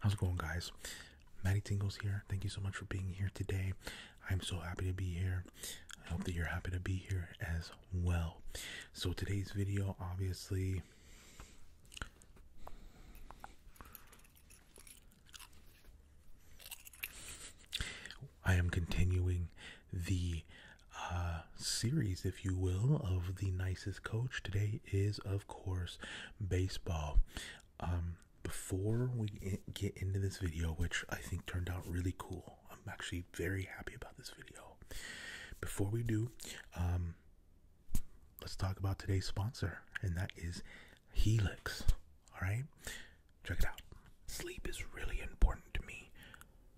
How's it going, guys? Matty Tingles here. Thank you so much for being here today. I'm so happy to be here. I hope that you're happy to be here as well. So, today's video obviously I am continuing the uh, series, if you will, of the nicest coach. Today is, of course, baseball. Um, before we get into this video, which I think turned out really cool, I'm actually very happy about this video. Before we do, um, let's talk about today's sponsor, and that is Helix. All right, check it out. Sleep is really important to me,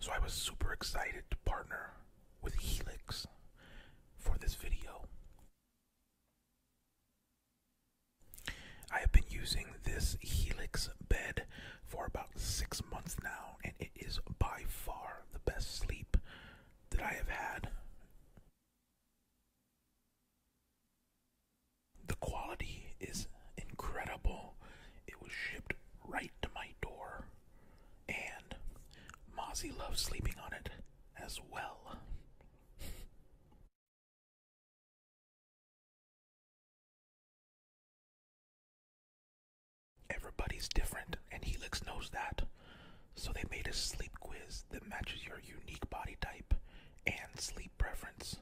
so I was super excited to partner with Helix for this video. I have been using this Helix bed for about six months now, and it is by far the best sleep that I have had. The quality is incredible. It was shipped right to my door, and Mozzie loves sleeping on it as well. Everybody's different, and Helix knows that. So they made a sleep quiz that matches your unique body type and sleep preference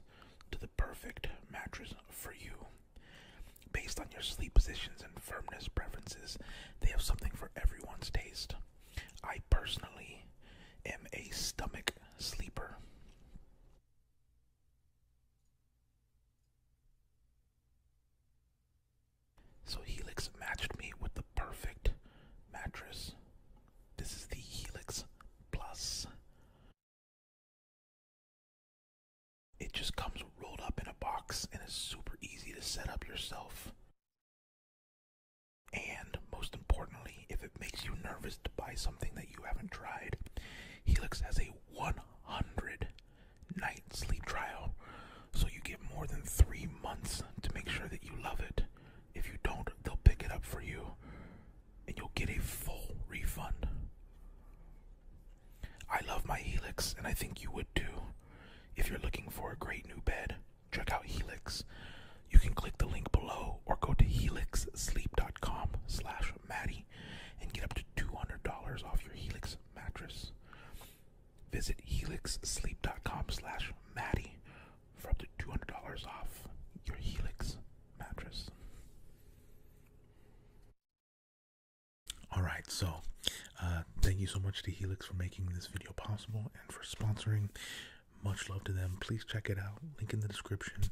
to the perfect mattress for you. Based on your sleep positions and firmness preferences, they have something for everyone's taste. I personally am a stomach sleeper. So Helix matched me with the perfect mattress. This is the Helix Plus. It just comes rolled up in a box and is super easy to set up yourself. And most importantly, if it makes you nervous to buy something that you haven't tried, Helix has a 100 night sleep trial. So you get more than three months to make sure that you love it. If you don't, they'll pick it up for you and you'll get a full refund. I love my Helix and I think you would too. If you're looking for a great new bed, check out Helix. You can click the link below or go to helixsleep.com slash Maddie and get up to $200 off your Helix mattress. Visit helixsleep.com slash Maddie for up to $200 off your Helix mattress. All right, so uh, thank you so much to Helix for making this video possible and for sponsoring. Much love to them. Please check it out. Link in the description.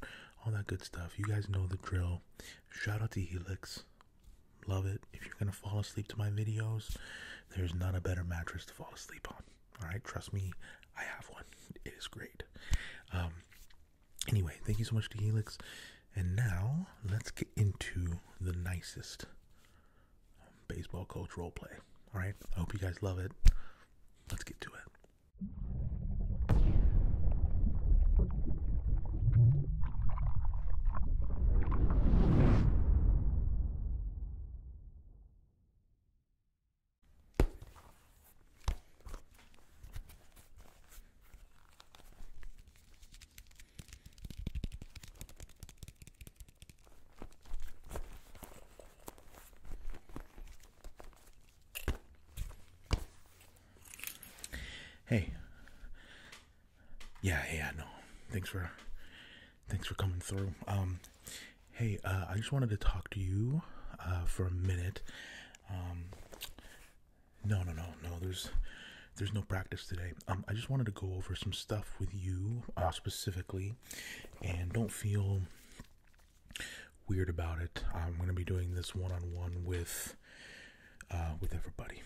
All that good stuff. You guys know the drill. Shout out to Helix. Love it. If you're going to fall asleep to my videos, there's not a better mattress to fall asleep on. All right, trust me, I have one. It is great. Um, anyway, thank you so much to Helix. And now let's get into the nicest baseball coach role play. All right. I hope you guys love it. Let's get to it. Hey. Yeah, yeah, no. Thanks for thanks for coming through. Um hey, uh I just wanted to talk to you uh for a minute. Um No, no, no. No, there's there's no practice today. Um, I just wanted to go over some stuff with you uh, specifically, and don't feel weird about it. I'm going to be doing this one on one with uh, with everybody.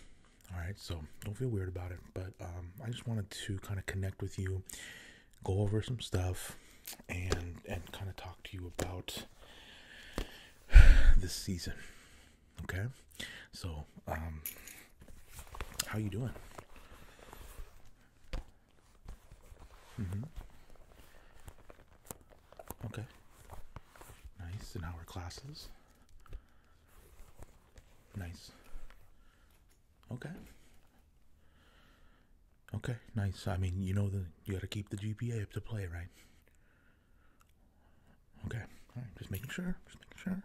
All right, so don't feel weird about it. But um, I just wanted to kind of connect with you, go over some stuff, and and kind of talk to you about this season. Okay, so um, how are you doing? Mm-hmm. Okay. Nice. And how are classes? Nice. Okay. Okay, nice. I mean, you know the you gotta keep the GPA up to play, right? Okay, just making sure, just making sure.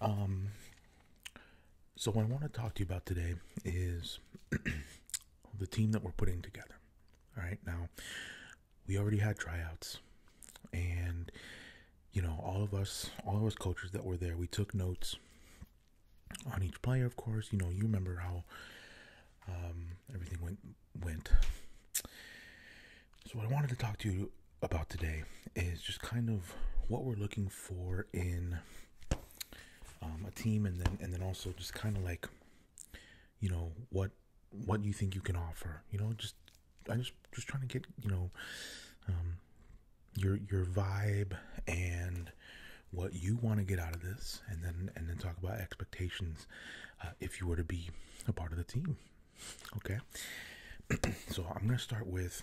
Um, so what I want to talk to you about today is the team that we're putting together. All right, now we already had tryouts, and you know, all of us, all of us coaches that were there, we took notes on each player. Of course, you know, you remember how um, everything went went so, what I wanted to talk to you about today is just kind of what we're looking for in um, a team, and then and then also just kind of like, you know, what what you think you can offer. You know, just I just just trying to get you know, um, your your vibe and what you want to get out of this, and then and then talk about expectations uh, if you were to be a part of the team. Okay, so I'm gonna start with.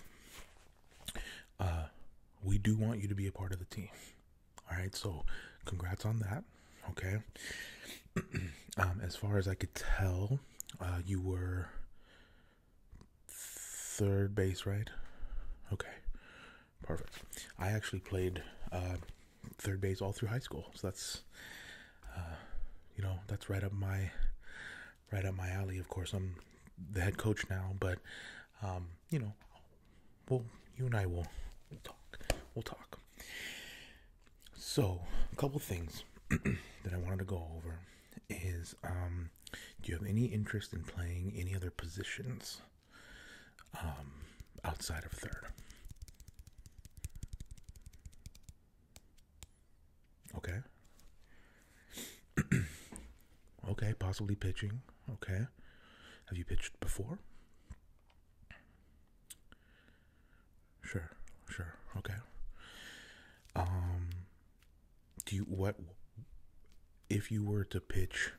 Uh, we do want you to be a part of the team. All right, so congrats on that. Okay, um, as far as I could tell, uh, you were third base, right? Okay, perfect. I actually played uh, third base all through high school, so that's you know, that's right up my right up my alley. Of course, I'm the head coach now, but um, you know, well, you and I will talk. We'll talk. So, a couple things that I wanted to go over is um, do you have any interest in playing any other positions um, outside of third? Okay. okay, possibly pitching. Okay. Have you pitched before? Sure, sure. Okay. Um do you what if you were to pitch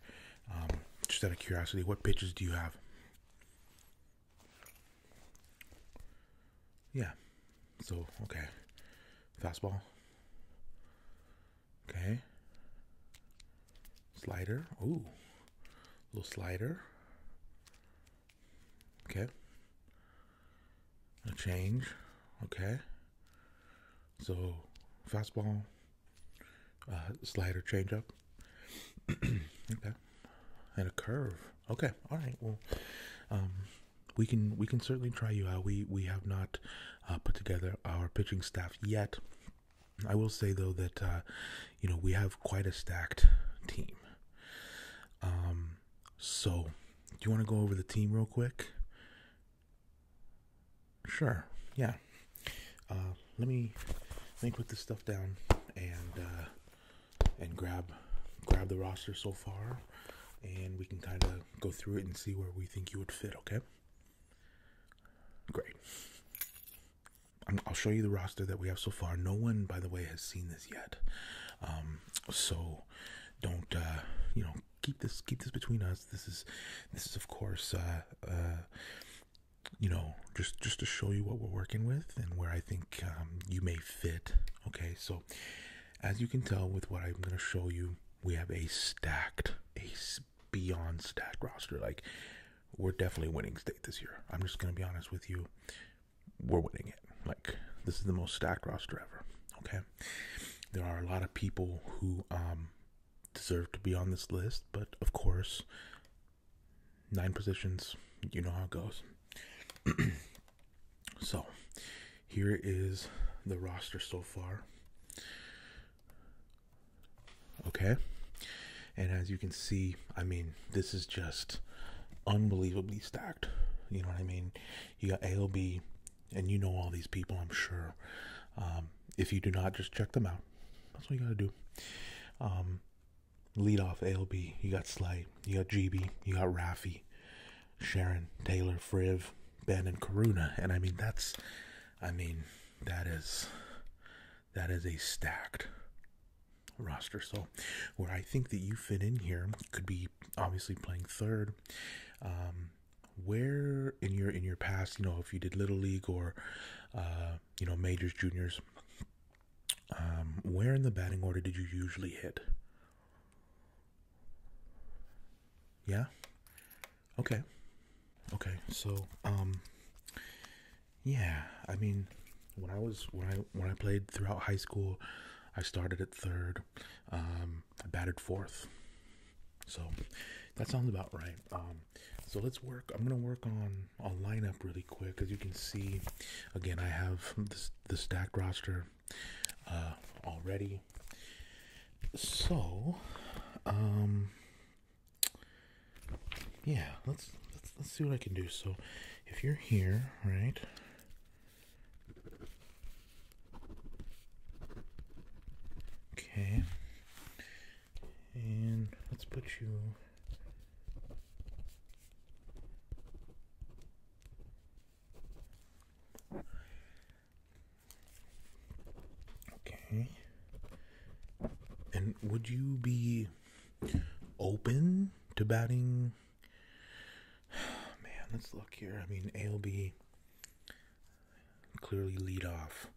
um, just out of curiosity, what pitches do you have? Yeah. So, okay. Fastball. Okay. Slider. Ooh. Little slider. Okay. A change. Okay. So, fastball, uh, slider, changeup okay. And a curve. Okay. All right. Well, um, we can we can certainly try you out. We we have not uh, put together our pitching staff yet. I will say though that uh, you know we have quite a stacked team. Um, so do you want to go over the team real quick? Sure. Yeah. Uh, let me let me put this stuff down and and grab grab the roster so far, and we can kind of go through it and see where we think you would fit. Okay. Great. i will show you the roster that we have so far. No one, by the way, has seen this yet, um, so don't uh, you know keep this keep this between us. This is this is of course uh, uh, you know, just just to show you what we're working with and where I think um, you may fit. Okay, so as you can tell with what I'm going to show you, we have a stacked, a beyond stacked roster. Like we're definitely winning state this year. I'm just going to be honest with you. We're winning it. Like this is the most stacked roster ever. Okay, there are a lot of people who um, deserve to be on this list, but of course, nine positions. You know how it goes. so, here is the roster so far. Okay. And as you can see, I mean, this is just unbelievably stacked. You know what I mean? You got ALB, and you know all these people, I'm sure. Um, if you do not, just check them out. That's what you got to do. Um, lead off ALB. You got Sly. you got GB, you got Rafi, Sharon, Taylor, Friv, Ben, and Karuna. And I mean, that's, I mean, that is, that is a stacked roster. So, where I think that you fit in here could be obviously playing third. Um, where in your in your past, you know, if you did little league or uh, you know, majors, juniors, um, where in the batting order did you usually hit? Yeah? Okay. Okay. So, um yeah, I mean, when I was when I when I played throughout high school, I started at third. Um I batted fourth. So, that sounds about right. Um so let's work. I'm going to work on I'll line up really quick. As you can see, again, I have this, the stacked roster uh, already. So, um, yeah, let's let's see what I can do. So, if you're here, right? Okay. And let's put you Okay. And would you be open to batting? Man, let's look here. I mean, ALB clearly lead off.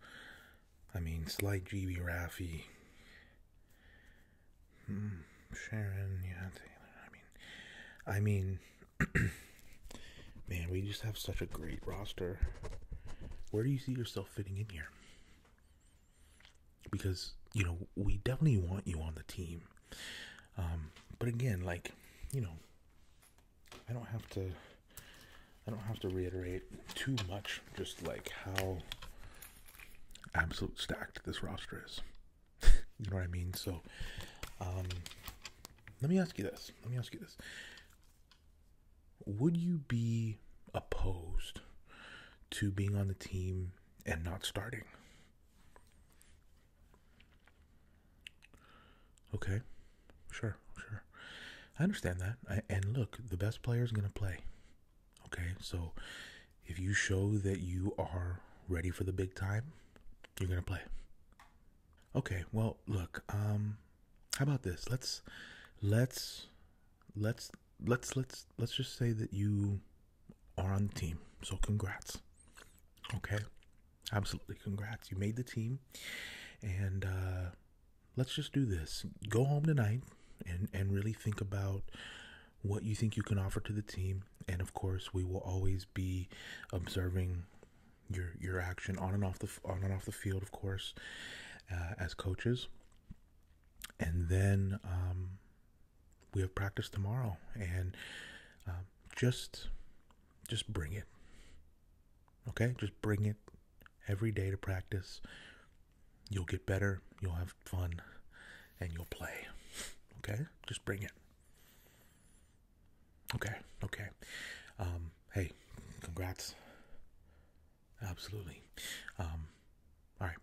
I mean, slight GB Raffy, hmm, Sharon, yeah, Taylor. I mean, I mean, man, we just have such a great roster. Where do you see yourself fitting in here? Because you know we definitely want you on the team, um, but again, like you know, I don't have to. I don't have to reiterate too much, just like how absolute stacked this roster is. you know what I mean? So, um, let me ask you this. Let me ask you this. Would you be opposed to being on the team and not starting? Okay, sure, sure. I understand that. and look, the best player is going to play. Okay, so if you show that you are ready for the big time, you're gonna play. Okay, well, look, um, how about this? Let's, let's, let's, let's, let's, let's just say that you are on the team. So congrats. Okay, absolutely, congrats. You made the team, and uh, let's just do this. Go home tonight and, and really think about what you think you can offer to the team. And of course, we will always be observing your your action on and off the on and off the field, of course, uh, as coaches. And then um, we have practice tomorrow, and uh, just just bring it. Okay, just bring it every day to practice. You'll get better, you'll have fun, and you'll play. Okay? Just bring it. Okay, okay. Um, hey, congrats. Absolutely. Um, all right.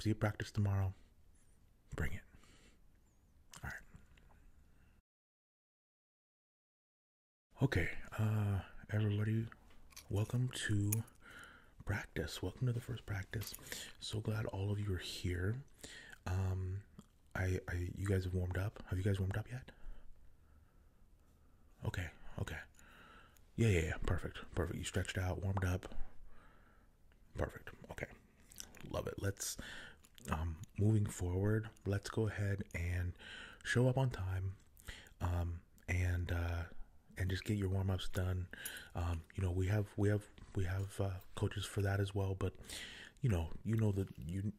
See you practice tomorrow. Bring it. Okay, uh, everybody, welcome to practice. Welcome to the first practice. So glad all of you are here. Um, I, I, you guys have warmed up. Have you guys warmed up yet? Okay, okay. Yeah, yeah, yeah. Perfect, perfect. You stretched out, warmed up. Perfect. Okay, love it. Let's, um, moving forward. Let's go ahead and show up on time. Um, and uh, and just get your warm ups done. Um, you know, we have we have we have uh, coaches for that as well, but you know, you know that you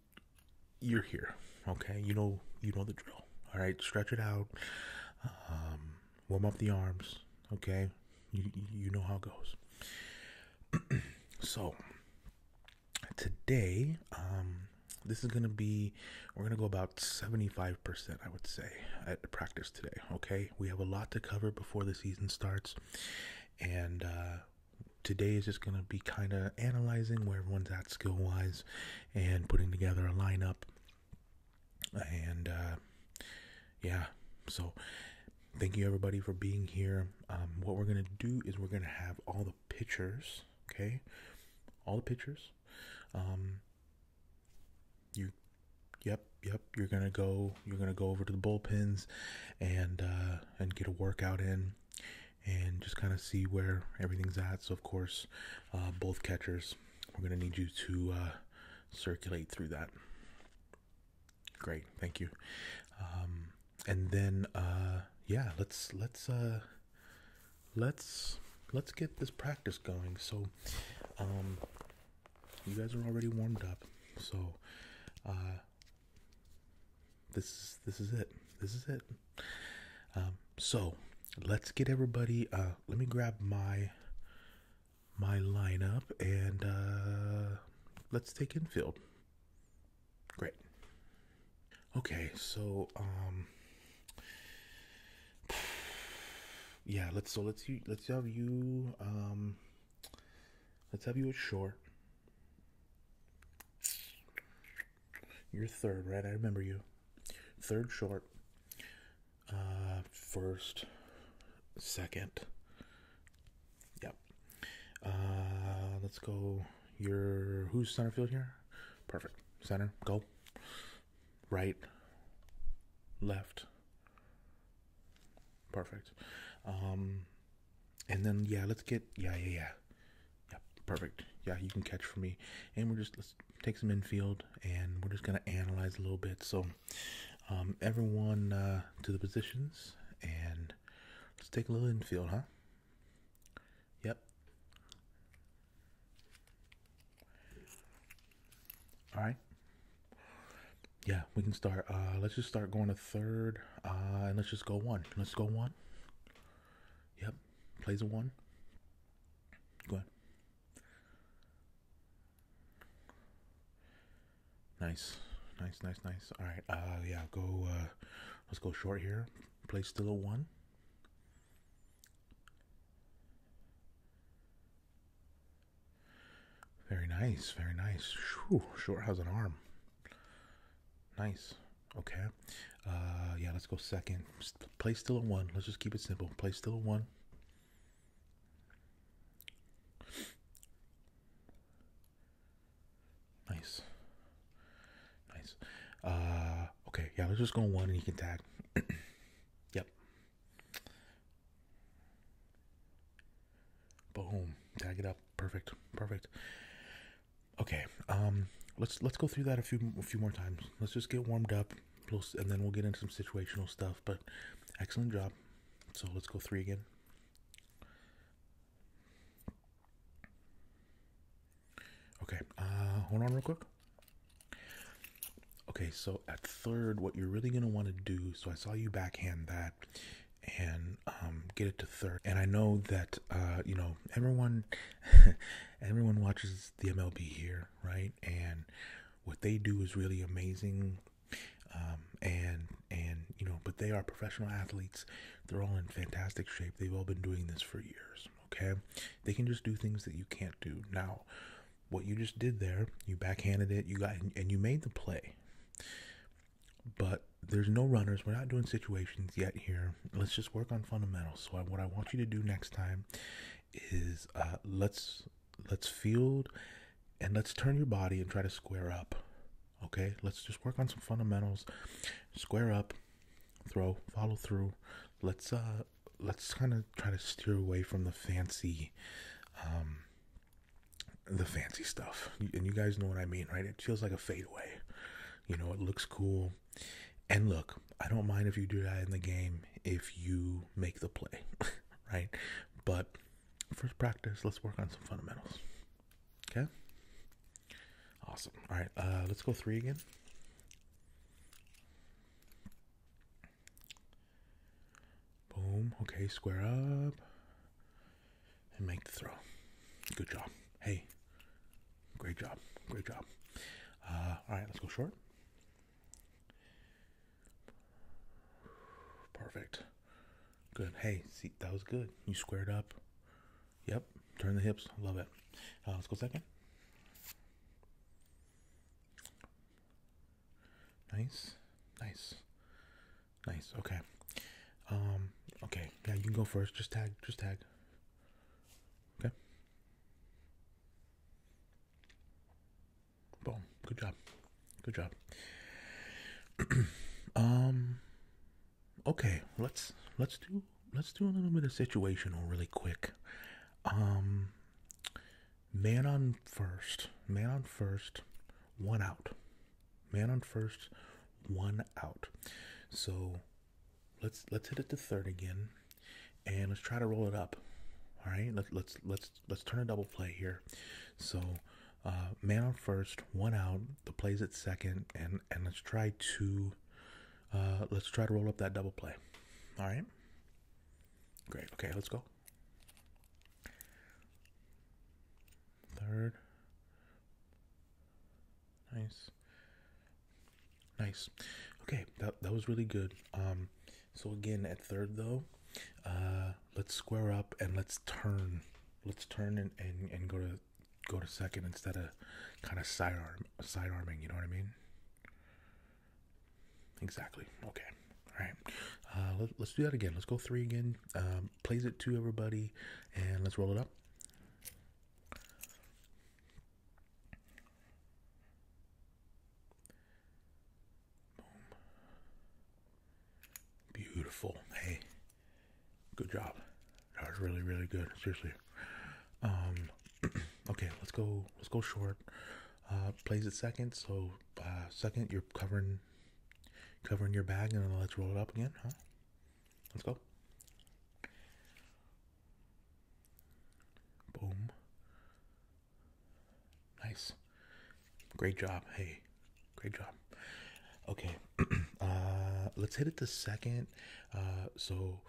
you're here, okay? You know, you know the drill. All right, stretch it out, um, warm up the arms, okay? You you know how it goes. so today, um, this is going to be we're going to go about 75% i would say at practice today okay we have a lot to cover before the season starts and uh, today is just going to be kind of analyzing where everyone's at skill wise and putting together a lineup and uh, yeah so thank you everybody for being here um, what we're going to do is we're going to have all the pitchers, okay all the pitchers. Um, you, yep, yep. You're gonna go. You're gonna go over to the bullpens, and uh, and get a workout in, and just kind of see where everything's at. So of course, uh, both catchers, we're gonna need you to uh, circulate through that. Great, thank you. Um, and then uh, yeah, let's let's uh, let's let's get this practice going. So, um, you guys are already warmed up. So, uh, this is this is it. This is it. Um, so let's get everybody. Uh, let me grab my my lineup and uh, let's take infield. Great. Okay, so um yeah, let's so let's let's have you um let's have you a short. You're third, right? I remember you. Third short. Uh first, second. Yep. Uh let's go your who's center field here? Perfect. Center, go right, left. Perfect. Um, and then yeah, let's get yeah yeah yeah, yeah perfect. Yeah, you can catch for me, and we're just let's take some infield, and we're just gonna analyze a little bit. So, um, everyone uh, to the positions, and let's take a little infield, huh? Yep. All right. Yeah, we can start. Uh, let's just start going to third, uh, and let's just go one. Let's go one. Yep, plays a one. Go ahead. Nice, nice, nice, nice. All right. Uh, yeah, go. Uh, let's go short here. Play still a one. Very nice, very nice. Whew, sure has an arm. Nice. Okay. Uh, yeah, let's go second. Play still at one. Let's just keep it simple. Play still at one. Nice. Nice. Uh, okay, yeah, let's just go one and you can tag. yep. Boom. Tag it up. Perfect. Perfect. Okay. Um, let's let's go through that a few a few more times. Let's just get warmed up, and then we'll get into some situational stuff. But excellent job. So let's go three again. Okay, uh, hold on real quick. Okay, so at third, what you're really going to want to do, so I saw you backhand that and um, get it to third. And I know that, uh, you know, everyone, everyone watches the MLB here, right? And what they do is really amazing. Um, and and you know but they are professional athletes they're all in fantastic shape they've all been doing this for years Okay, they can just do things that you can't do. Now, what you just did there, you backhanded it, you got and you made the play. But there's no runners. We're not doing situations yet here. Let's just work on fundamentals. So what I want you to do next time is uh, let's let's field and let's turn your body and try to square up. Okay, let's just work on some fundamentals. Square up throw follow through let's uh let's kind of try to steer away from the fancy um the fancy stuff and you guys know what i mean right it feels like a fadeaway you know it looks cool and look i don't mind if you do that in the game if you make the play right but first practice let's work on some fundamentals Okay. Awesome. All right. Uh, let's go three again. Boom. Okay. Square up. And make the throw. Good job. Hey. Great job. Great job. Uh, all right. Let's go short. Perfect. Good. Hey, see, that was good. You squared up. Yep. Turn the hips. Love it. Uh, let's go second. Nice. Nice. Nice. Okay. Um, okay. Yeah, you can go first. Just tag. Just tag. Okay. Boom. Good job. Good job. um, okay, let's let's do let's do a little bit of situational really quick. Um, man on first, man on first, one out. Man on first, one out. So let's let's hit it to third again, and let's try to roll it up. All right, let's let's let's let's turn a double play here. So. Uh, man on first, one out. The plays at second, and and let's try to uh, let's try to roll up that double play. All right. Great. Okay, let's go. Third. Nice. Nice. Okay, that, that was really good. Um, so again, at third though, uh, let's square up and let's turn. Let's turn and, and, and go to go to second instead of kind of side arm, side arming. You know what I mean? Exactly. Okay. All right. Uh, let, us do that again. Let's go three again. Um, plays it to everybody, and let's roll it up. Beautiful. Hey, Good job. That was really, really good. Seriously. Um, okay, let's go. Let's go short. Uh, plays it second. So uh, second, you're covering covering your bag, and then let's roll it up again, huh? Let's go. Boom. Nice. Great job. Hey, great job. Okay, Uh, let's hit it to second. Uh, so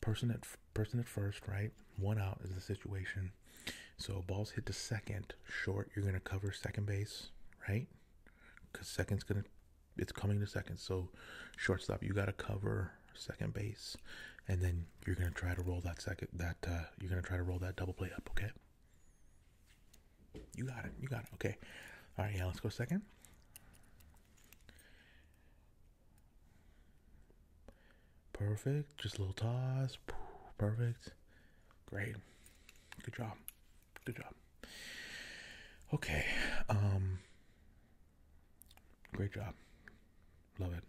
person at person at first, right? One out is the situation. So balls hit to second, short. You're gonna cover second base, right? Because second's gonna, it's coming to second. So shortstop, you gotta cover second base, and then you're gonna try to roll that second. That uh, you're gonna try to roll that double play up, okay? You got it. You got it. Okay. All right. Yeah. Let's go second. Perfect. Just a little toss. Perfect. Great. Good job. Good job. Okay. Um. Great job. Love it.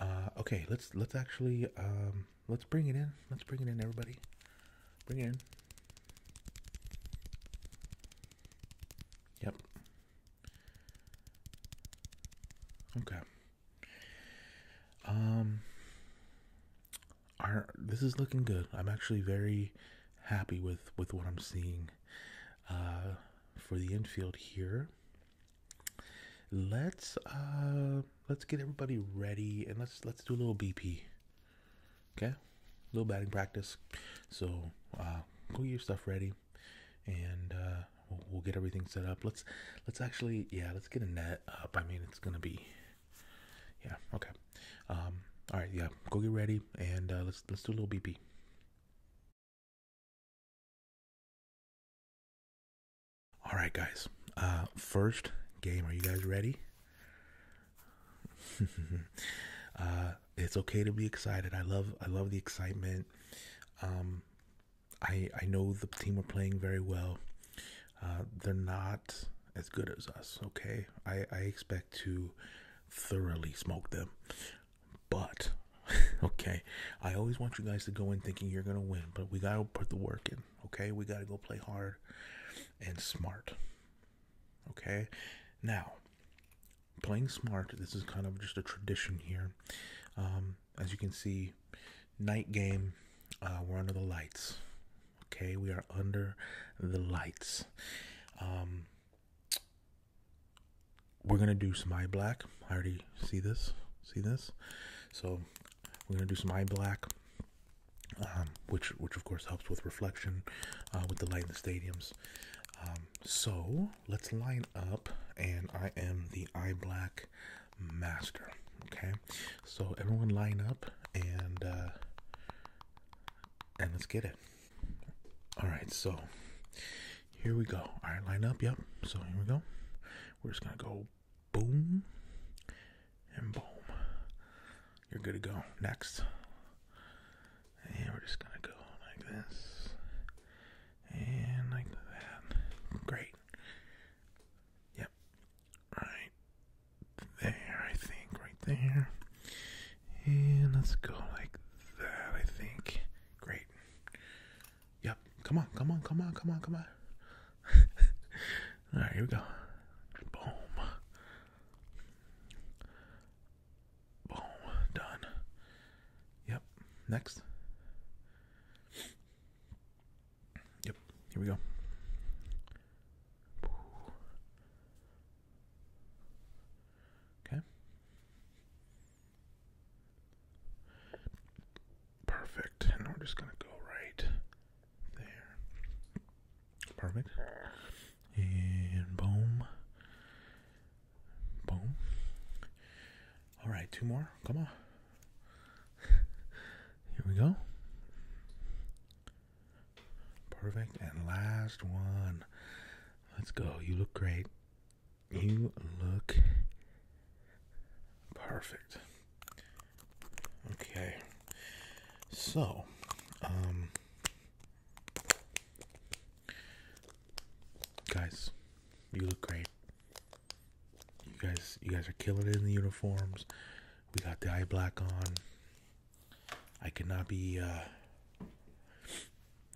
Uh, okay, let's let's actually um, let's bring it in. Let's bring it in, everybody. Bring it in. Yep. Okay. Um this is looking good. I'm actually very happy with with what I'm seeing uh for the infield here. Let's uh let's get everybody ready and let's let's do a little BP. Okay, little batting practice. So uh, go get your stuff ready, and uh, we'll, get everything set up. Let's let's actually yeah let's get a net up. I mean it's gonna be yeah okay. Um, all right yeah go get ready and uh, let's let's do a little BP. All right guys, uh, first game. Are you guys ready? Uh, it's okay to be excited. I love I love the excitement. Um, I I know the team are playing very well. Uh, they're not as good as us. Okay, I I expect to thoroughly smoke them, but okay. I always want you guys to go in thinking you're gonna win, but we gotta put the work in. Okay, we gotta go play hard and smart. Okay, now playing smart, this is kind of just a tradition here. Um, as you can see, night game, uh, we're under the lights. Okay, we are under the lights. Um, we're gonna do some eye black. I already see this. See this? So we're gonna do some eye black. Um, which which of course helps with reflection uh, with the light in the stadiums. Um, so let's line up, and I am the eye black master. Okay, so everyone line up and uh, and let's get it. All right, so here we go. All right, line up. Yep. So here we go. We're just gonna go boom, and boom. You're good to go. Next. And we're just going to go like this and like that. Great. Yep. Right there, I think. Right there. And let's go like that, I think. Great. Yep. Come on, come on, come on, come on, come on. All right, here we go. Boom. Boom. Done. Yep. Next. Yep. Here we go. Okay. Perfect. And we're just going to go right there. Perfect. And boom. Boom. Alright, two more. Come on. Here we go. Perfect. And last one. Let's go. You look great. You look perfect. Okay. So, um, guys, you look great. You guys, you guys are killing it in the uniforms. We got the eye black on. I could not be, uh,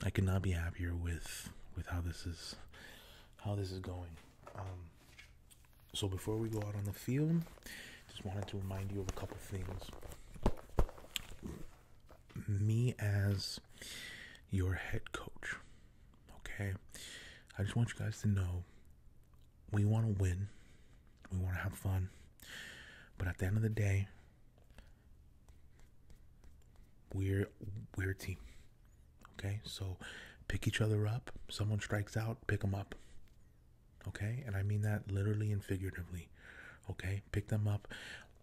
I could not be happier with with how this is, how this is going. Um, so before we go out on the field, just wanted to remind you of a couple things. Me as your head coach, okay? I just want you guys to know we want to win, we want to have fun, but at the end of the day, we're we're a team. Okay, so pick each other up. Someone strikes out, pick them up. Okay? And I mean that literally and figuratively. Okay? Pick them up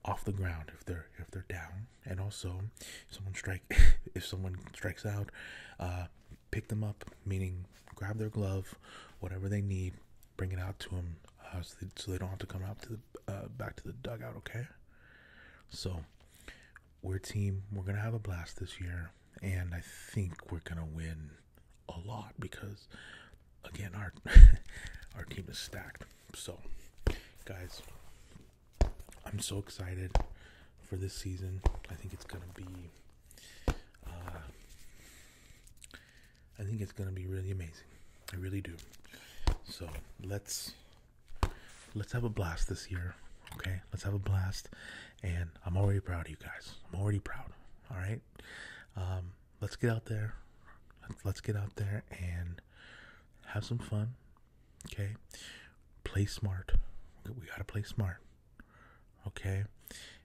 off the ground if they're if they're down and also if someone strike if someone strikes out uh pick them up meaning grab their glove whatever they need bring it out to uh, them so, they, don't have to come out to the uh, back to the dugout okay so we're team we're gonna have a blast this year and I think we're gonna win a lot because again our our team is stacked. So, guys, I'm so excited for this season. I think it's gonna be. Uh, I think it's gonna be really amazing. I really do. So let's let's have a blast this year. Okay, let's have a blast. And I'm already proud of you guys. I'm already proud. All right. Um, let's get out there. Let's get out there and have some fun. Okay. Play smart. We got to play smart. Okay.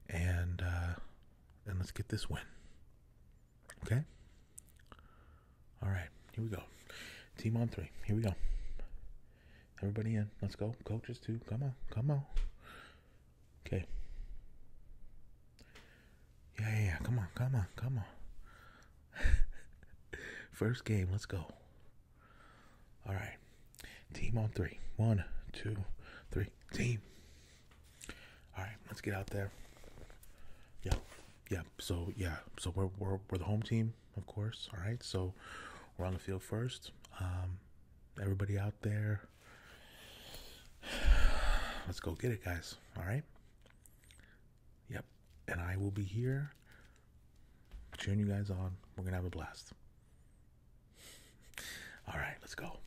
And, uh, and let's get this win. Okay. All right. Here we go. Team on three. Here we go. Everybody in. Let's go. Coaches too. Come on. Come on. Okay. Yeah, yeah, yeah. Come on. Come on. Come on. First game. Let's go. All right. Team on three, one, two, three, Team. All right. Let's get out there. Yeah. Yeah. So, yeah. So, we're, we're, we're the home team of course. All right, so we're on the field first. Um, everybody out there, let's go get it, guys. All right. Yep, and I will be here cheering you guys on. We're gonna have a blast. All right, let's go.